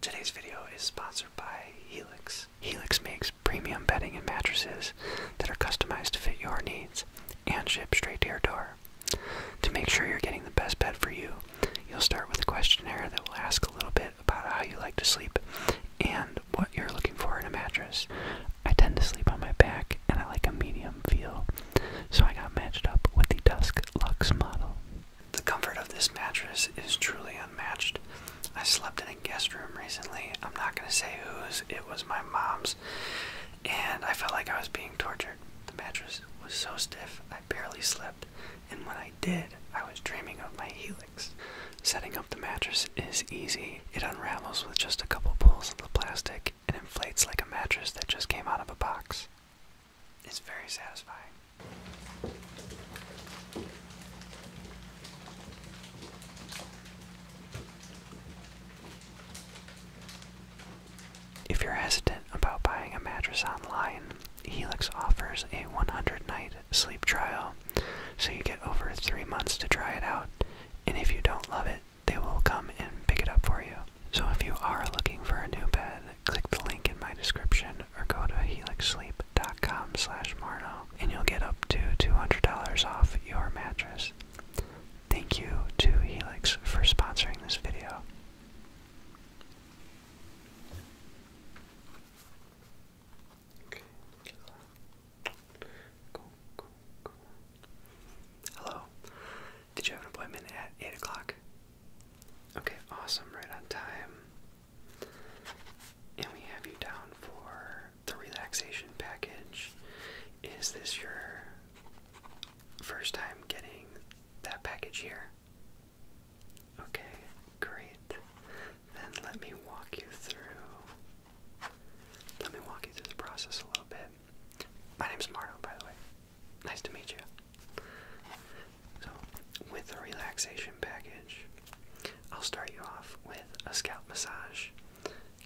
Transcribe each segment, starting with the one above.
Today's video is sponsored by Helix. Helix makes premium bedding and mattresses that are customized to fit your needs and ship straight to your door. To make sure you're getting the best bed for you, you'll start with a questionnaire that will ask a little bit about how you like to sleep and what you're looking for in a mattress. I tend to sleep on my back and I like a medium feel, so I got matched up with the Dusk Lux model. The comfort of this mattress is truly unmatched. I slept in a guest room recently. I'm not going to say whose, it was my mom's. And I felt like I was being tortured. The mattress was so stiff, I barely slept. And when I did, I was dreaming of my helix. Setting up the mattress is easy. It unravels with just a couple pulls of the plastic and inflates like a mattress that just came out of a box. It's very satisfying. If you're hesitant about buying a mattress online, Helix offers a 100 night sleep trial, so you get over three months to try it out, and if you don't love it, they will come and pick it up for you. So if you are looking for a new bed, click the link in my description or go to helixsleep.com slash Marno and you'll get up to $200 off your mattress. Thank you to Helix for sponsoring this video. Hello. Did you have an appointment at 8 o'clock? Okay, awesome, right on time. And we have you down for the relaxation package. Is this your first time getting that package here? Okay, great. Then let me walk you through. Let me walk you through the process a little bit. My name's Marno, by the way. Nice to meet you. So, with the relaxation package, I'll start you off with a scalp massage.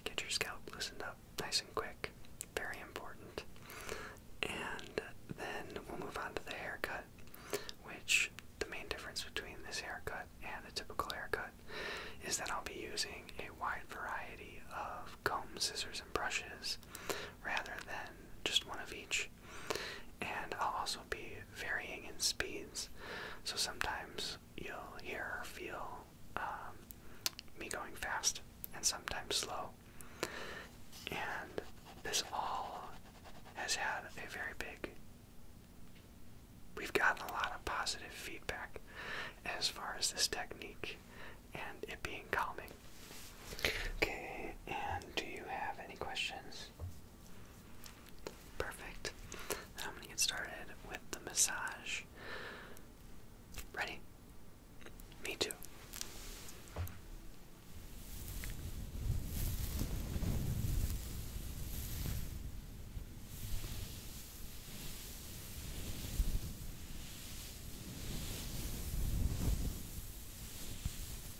Get your scalp loosened up nice and quick, very important. And then we'll move on to the haircut, which the main difference between this haircut and a typical haircut is that I'll be using a wide variety of combs, scissors, and brushes rather than just one of each. And I'll also be varying in speeds. So sometimes you'll hear or feel um, me going fast and sometimes slow. And this all has had a very big. We've gotten a lot of positive feedback as far as this technique and it being calming Okay, and do you have any questions? Perfect. I'm gonna get started with the massage. Ready? Me too.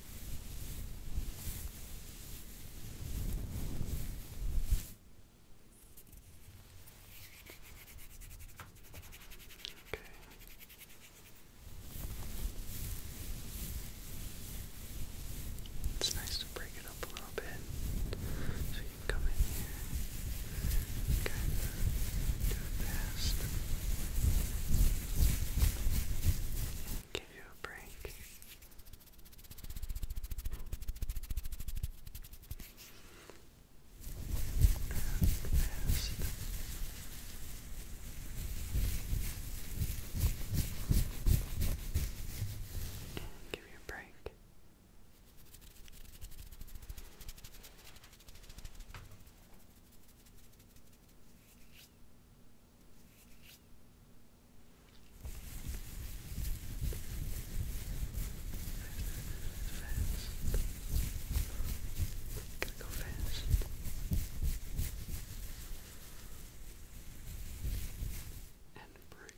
Okay. It's nice to break it up a little bit so you can come in here and too Give you a break. Give you a break. Gotta go fast. And break.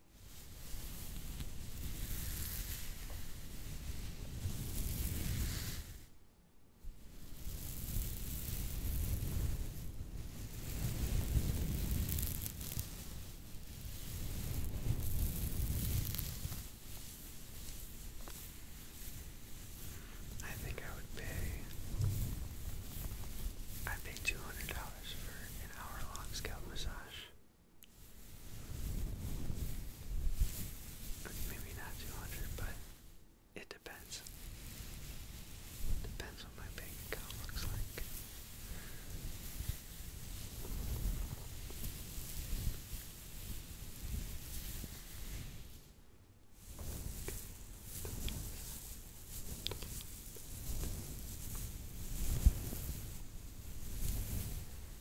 I think I would pay I paid two hundred dollars for an hour long scalp massage. Maybe not 200, but it depends. Depends what my bank account looks like.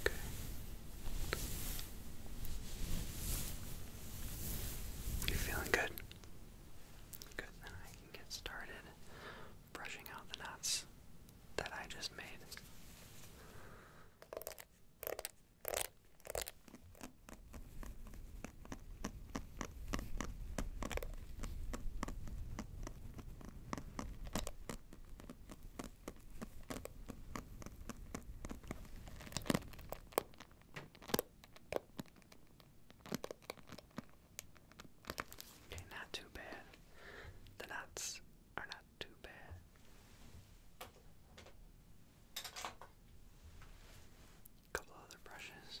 Okay. you feeling good? Good, then I can get started brushing out the knots that I just made. Okay, not too bad. The nuts are not too bad. A couple other brushes.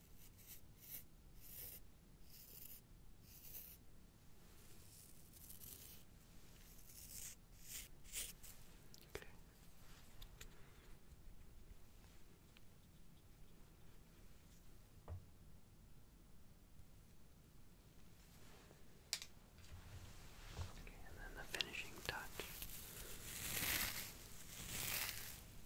Okay. Okay, and then the finishing touch.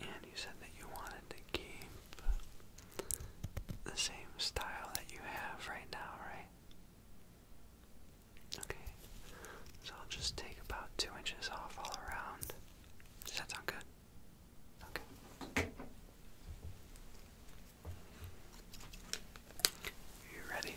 And you said that you wanted to keep the same style that you have right now, right? Okay. So I'll just take about two inches off all around. Does that sound good? Okay. You ready?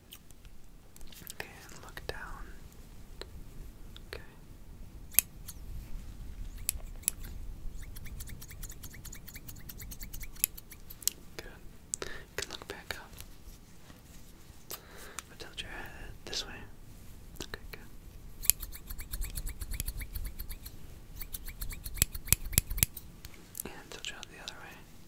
Okay, and look down. Okay. Good. You can look back up. But your head this way. Okay, good. And tilt your head the other way.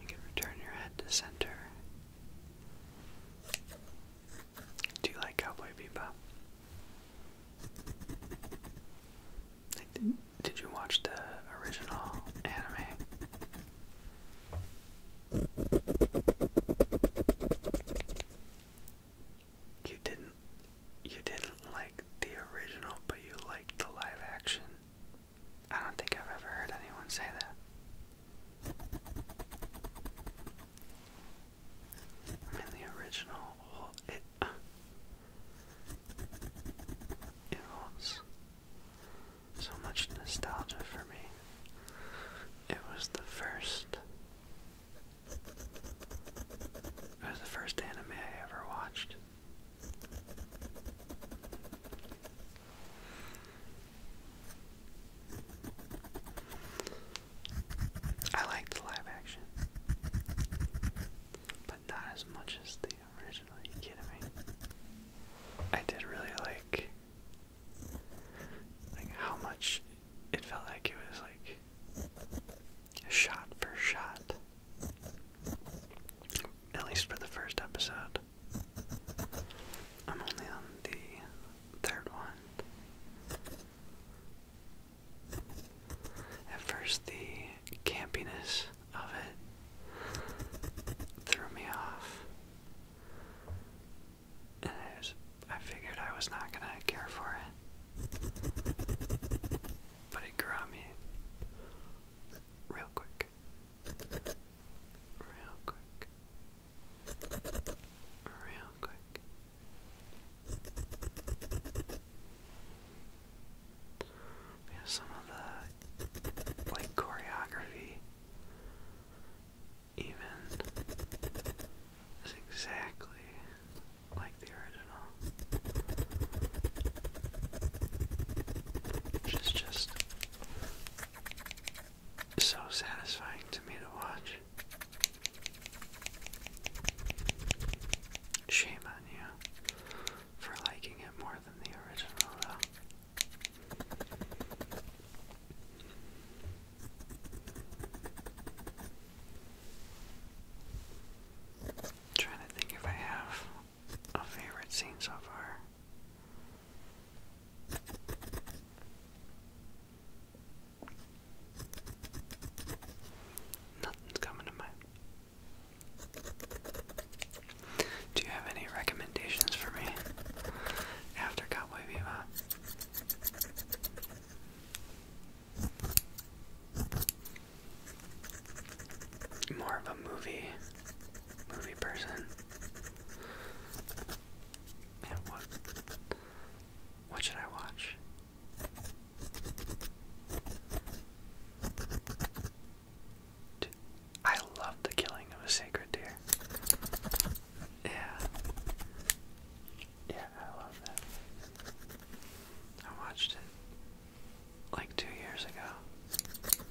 You can return your head to center. Do you like Cowboy Bebop? did you watch the original anime? You didn't you didn't like the original, but you liked the live action. I don't think I've ever heard anyone say that. In the original, it uh, so much nostalgia for me. It was the first. It was the first anime I ever watched. I liked the live action, but not as much as the original. you kidding me? I did really like like how much it felt like it was like shot for shot. At least for the first episode. I'm only on the third one. At first, the campiness of it threw me off. I, I figured I was not going to care for it. But it grew on me real quick. Real quick. Real quick. Yeah, some of the like choreography even is exactly like the original, which is just so satisfying to me to watch. Shame on you for liking it more than the original, though trying to think if I have a favorite scene so far. Nothing's coming to mind. Do you have any recommendations for me after Cowboy Bebop? More of a movie, movie person. Yeah, what? What should I watch? I love the killing of a sacred deer. Yeah. Yeah, I love that. I watched it like two years ago.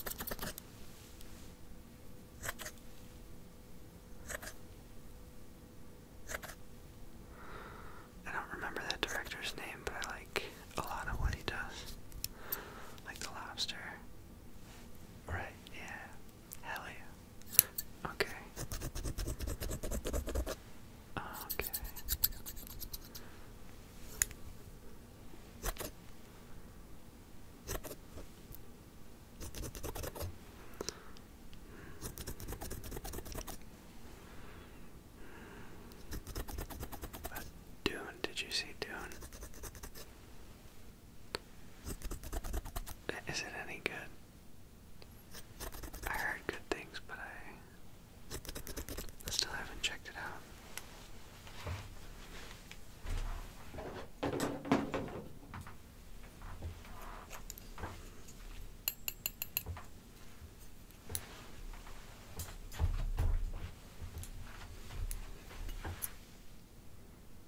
I don't remember that director's name, but I like a lot of what he does. Like the lobster Right, yeah. Hell yeah. Okay. Okay. Dune, did you see Dune? Is it any good? I heard good things, but I still haven't checked it out.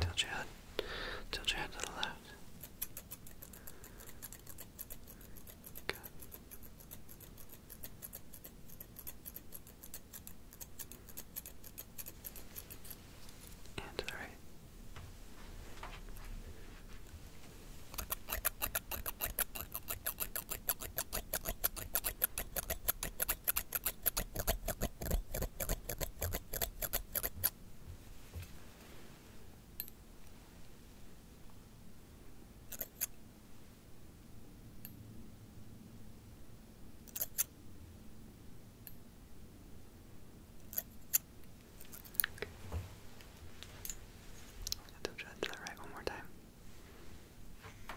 Tilt your head. Tilt your head to the left. Good and to I have to judge that right one more time. Okay.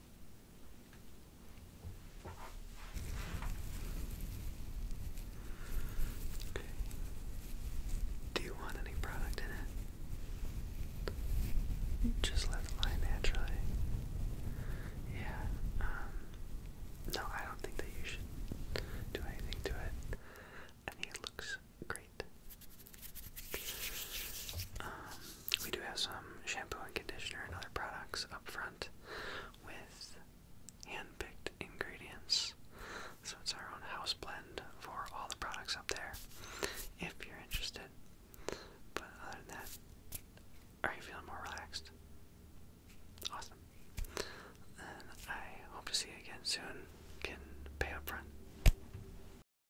Do you want any product in it? Just let it lie naturally. Yeah. Um, no, I don't think that you should do anything to it. I think it looks great. Um, we do have some shampoo and conditioner and other products up front with handpicked ingredients. So it's our own house blend for all the products up there, if you're interested. But other than that, are you feeling more relaxed? Awesome. I hope to see you again soon. Can pay up front.